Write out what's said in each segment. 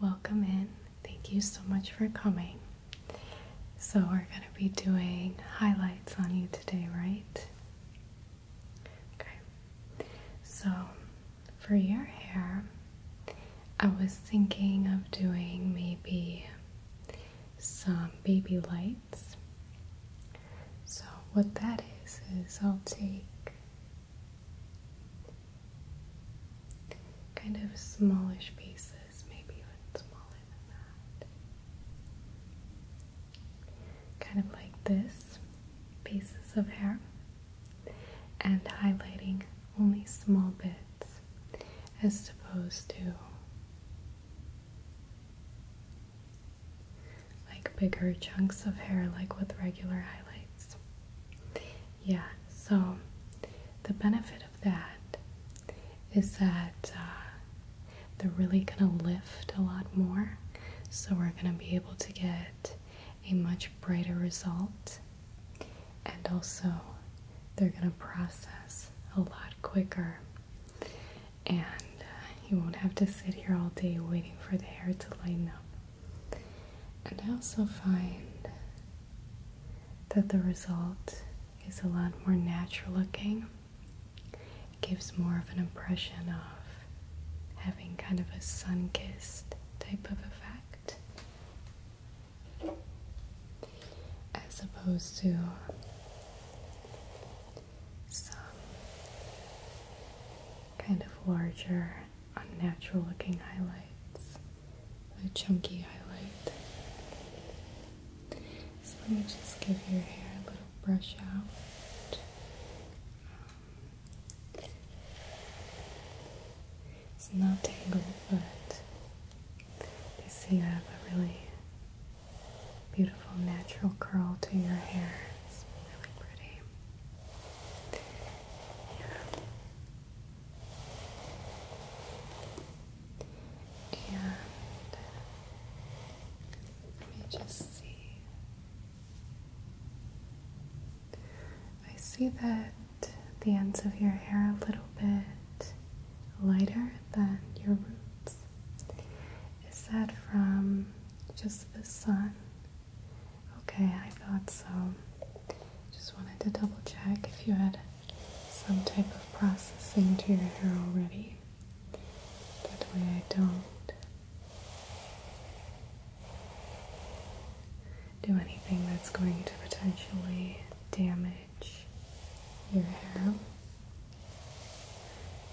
Welcome in. Thank you so much for coming. So, we're going to be doing highlights on you today, right? Okay. So, for your hair, I was thinking of doing maybe some baby lights. So, what that is, is I'll take kind of smallish pieces, maybe even smaller than that. Kind of like this pieces of hair and highlighting only small bits as opposed to like bigger chunks of hair like with regular highlights yeah, so the benefit of that is that uh, they're really gonna lift a lot more, so we're gonna be able to get a much brighter result, and also they're gonna process a lot quicker, and uh, you won't have to sit here all day waiting for the hair to lighten up. And I also find that the result is a lot more natural looking. It gives more of an impression of having kind of a sun kissed type of effect as opposed to some kind of larger unnatural looking highlights. A chunky highlight. So let me just give your hair a little brush out. it's not tangled, but you see, you have a really beautiful natural curl to your hair. It's really pretty. And let me just see. I see that the ends of your hair are a little bit lighter than your roots. Is that from just the sun? Okay, I thought so. Just wanted to double check if you had some type of processing to your hair already. That way I don't do anything that's going to potentially damage your hair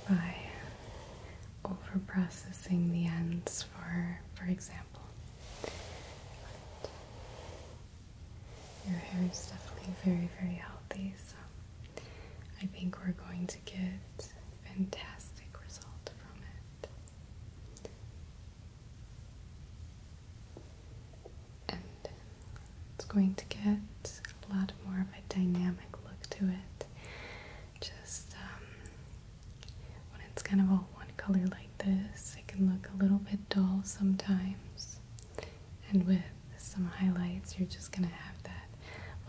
by over processing the ends for for example your hair is definitely very, very healthy, so I think we're going to get fantastic result from it. And it's going to get a lot more of a dynamic look to it. Just um, when it's kind of all one color like this, it can look a little bit dull sometimes. And with some highlights, you're just going to have that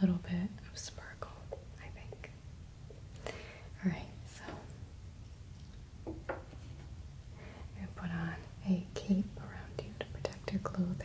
little bit of sparkle, I think. Alright, so i put on a cape around you to protect your clothing.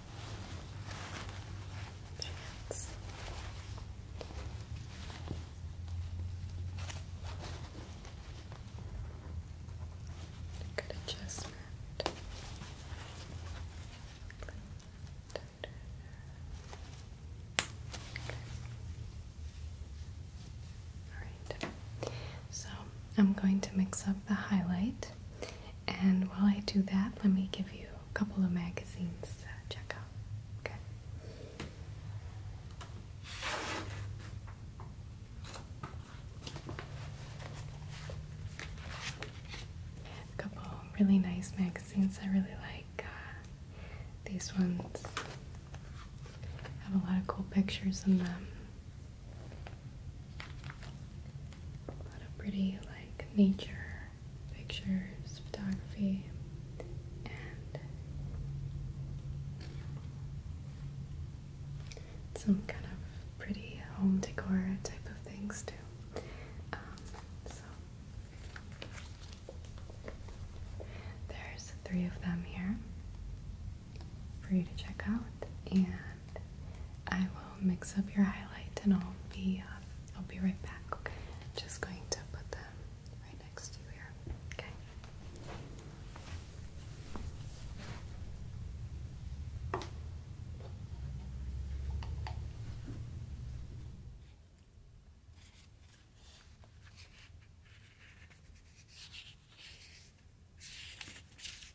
Good adjustment. All right. So I'm going to mix up the highlight and while I do that, let me give you a couple of magazines to check out. Okay. A couple really nice magazines I really like. Uh, these ones have a lot of cool pictures in them a lot of pretty like nature pictures, photography, and some kind of pretty home decor type of things too. Um, so there's three of them here for you to check out and I will mix up your highlight and I'll be uh, I'll be right back. Okay. Just going to put them right next to you here. Okay.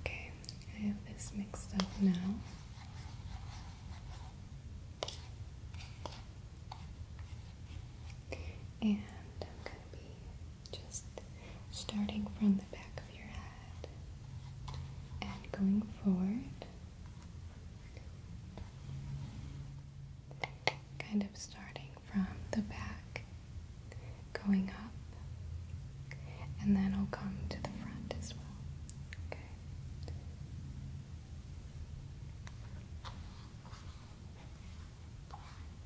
Okay, I have this mixed up now. And I'm going to be just starting from the back of your head and going forward. Kind of starting from the back, going up, and then I'll come to the front as well. Okay.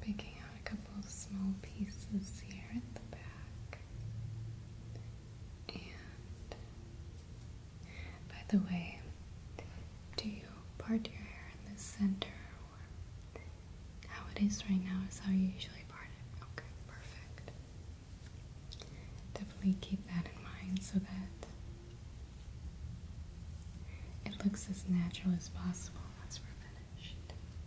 Picking out a couple of small pieces here at the back. And by the way, do you part your hair in the center or how it is right now is how you usually part it? Okay, perfect. Definitely keep that in mind so that it looks as natural as possible once we're finished.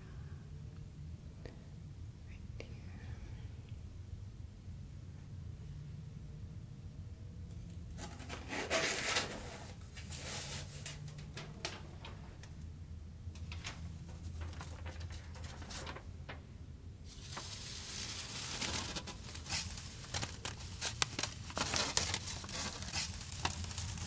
right here. Okay.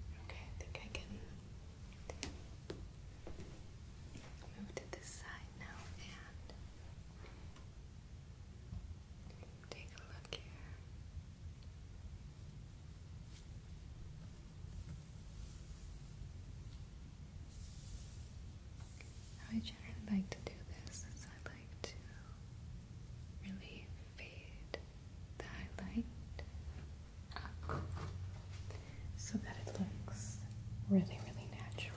Okay, I think I can move to this side now and Take a look here. How I generally like to do this is I like to really fade the highlight so that it looks really, really natural.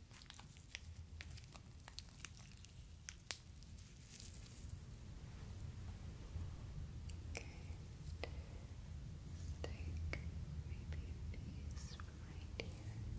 Okay. Take maybe a piece from right here. Okay.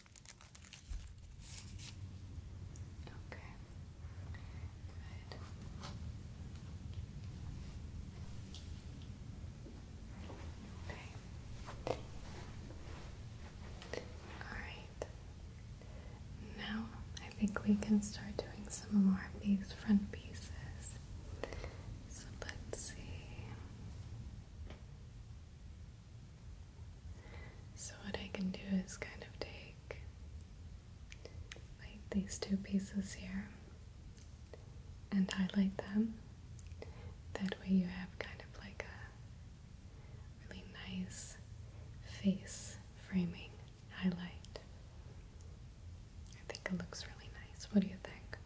Okay. Good. Okay. Alright. Now I think we can start doing some more of these front pieces. So let's see. So, what I can do is kind of take like these two pieces here and highlight them. That way, you have kind of like a really nice face framing highlight. I think it looks really nice. What do you think?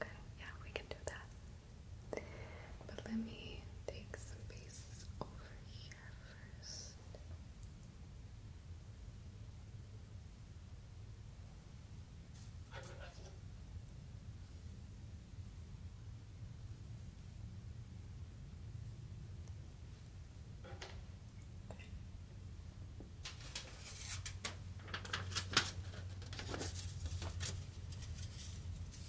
Okay, yeah, we can do that. But let me take some pieces over here first.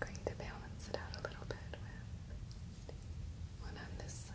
Going to balance it out a little bit with one on this side.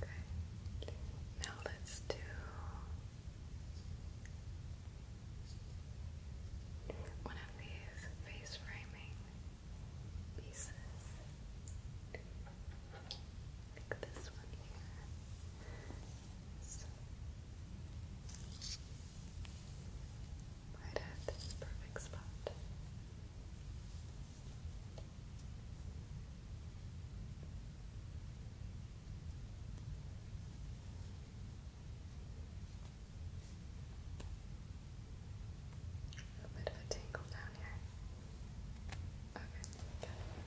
Okay. Now let's do. One of these face framing pieces, like this one right at this perfect spot. A bit of a tingle down here. Okay, got it.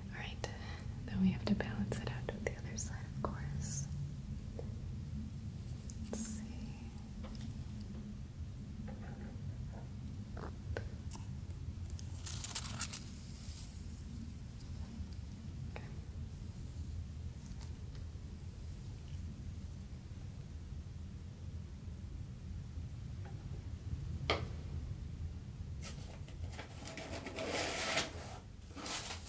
Alright, then we have to balance it out with the other side, of course. Let's see.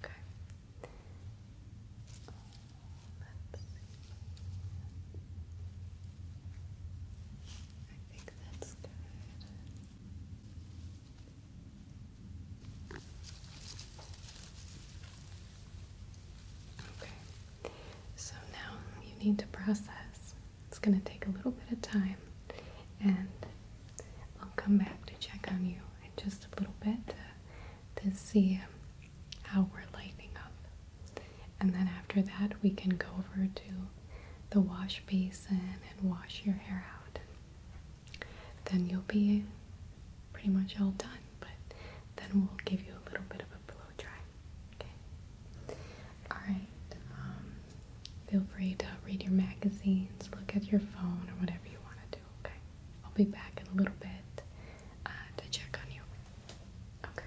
Okay. let's I think that's good. Okay. So now you need to process it's going to take a little bit of time and I'll come back to check on you in just a little bit to, see um, how we're lighting up. And then after that, we can go over to the wash basin and wash your hair out. Then you'll be pretty much all done, but then we'll give you a little bit of a blow dry. Okay. Alright, um, feel free to read your magazines, look at your phone, or whatever you want to do, okay? I'll be back in a little bit uh, to check on you. Okay.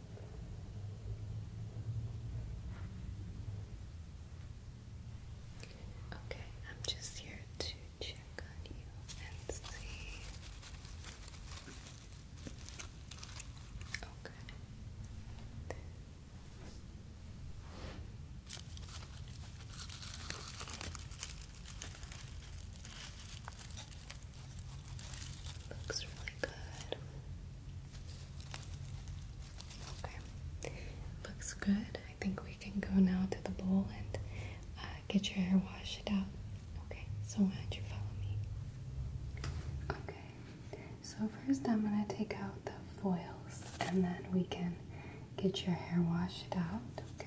Okay, I'm just here to check on you and see. Okay. Oh, Looks really good. Okay, looks good. I think we can go now to the bowl and uh, get your hair washed out. Okay, so why don't you follow me? Okay, so first I'm gonna take out the foils and then we can get your hair washed out. Okay.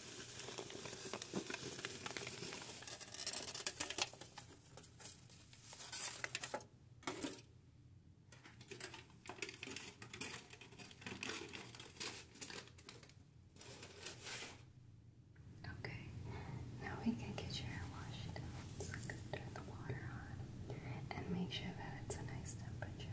Okay, now we can get your hair washed down. So turn the water on and make sure that it's a nice temperature.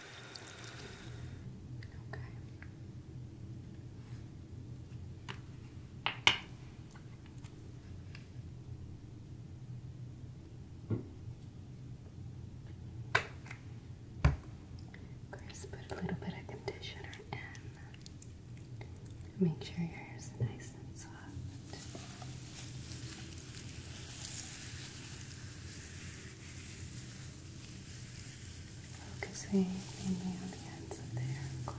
Okay. Chris, put a little bit of conditioner in. Make sure your hair is nice and soft. Focusing mainly on the ends of the hair, of course.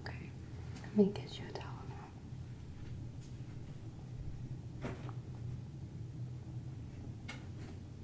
Okay, let me get you a towel now.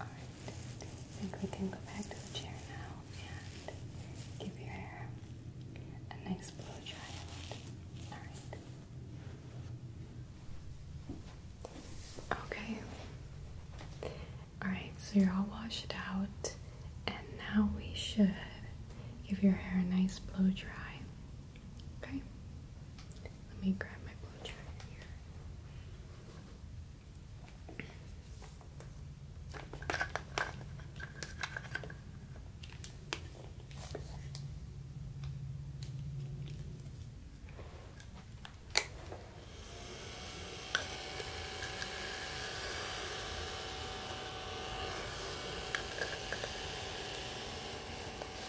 I think we can go back to the chair now and give your hair a nice blow dry Alright. Okay. Alright, so you're all washed out, and now we should give your hair a nice blow dry. Okay. Let me grab my blow dryer here.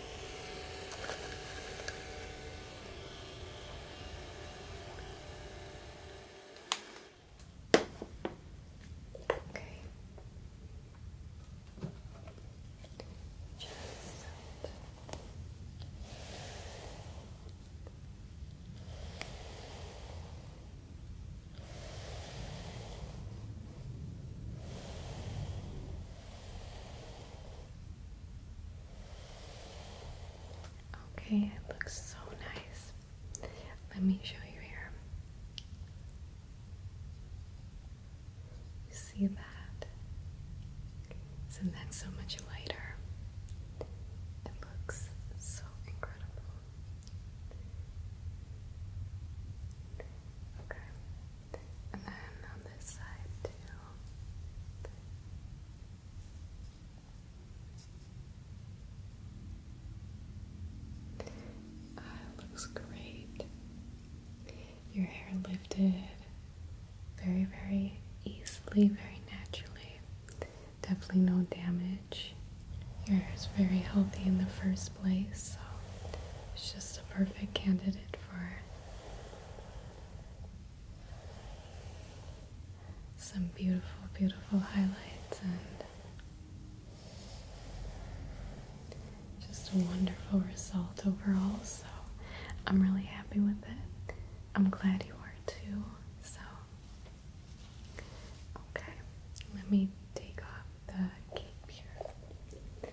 Okay. Just Okay. Okay, it looks so nice. Let me show you here. You see that? Isn't that so much lighter? It looks so incredible. Okay, and then on this side too. Ah, looks great. Your hair lifted very, very easily, very naturally. Definitely no damage. Your hair is very healthy in the first place, so it's just a perfect candidate for some beautiful, beautiful highlights and just a wonderful result overall. So I'm really happy with it. I'm glad you are too. So, okay, let me take off the cape here.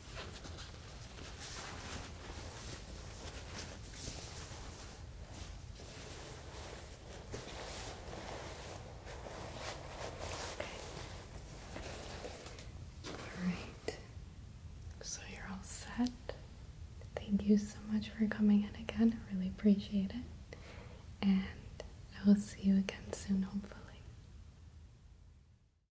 All right. So you're all set. Thank you so much for coming in again. I really appreciate it. And I will see you again soon, hopefully.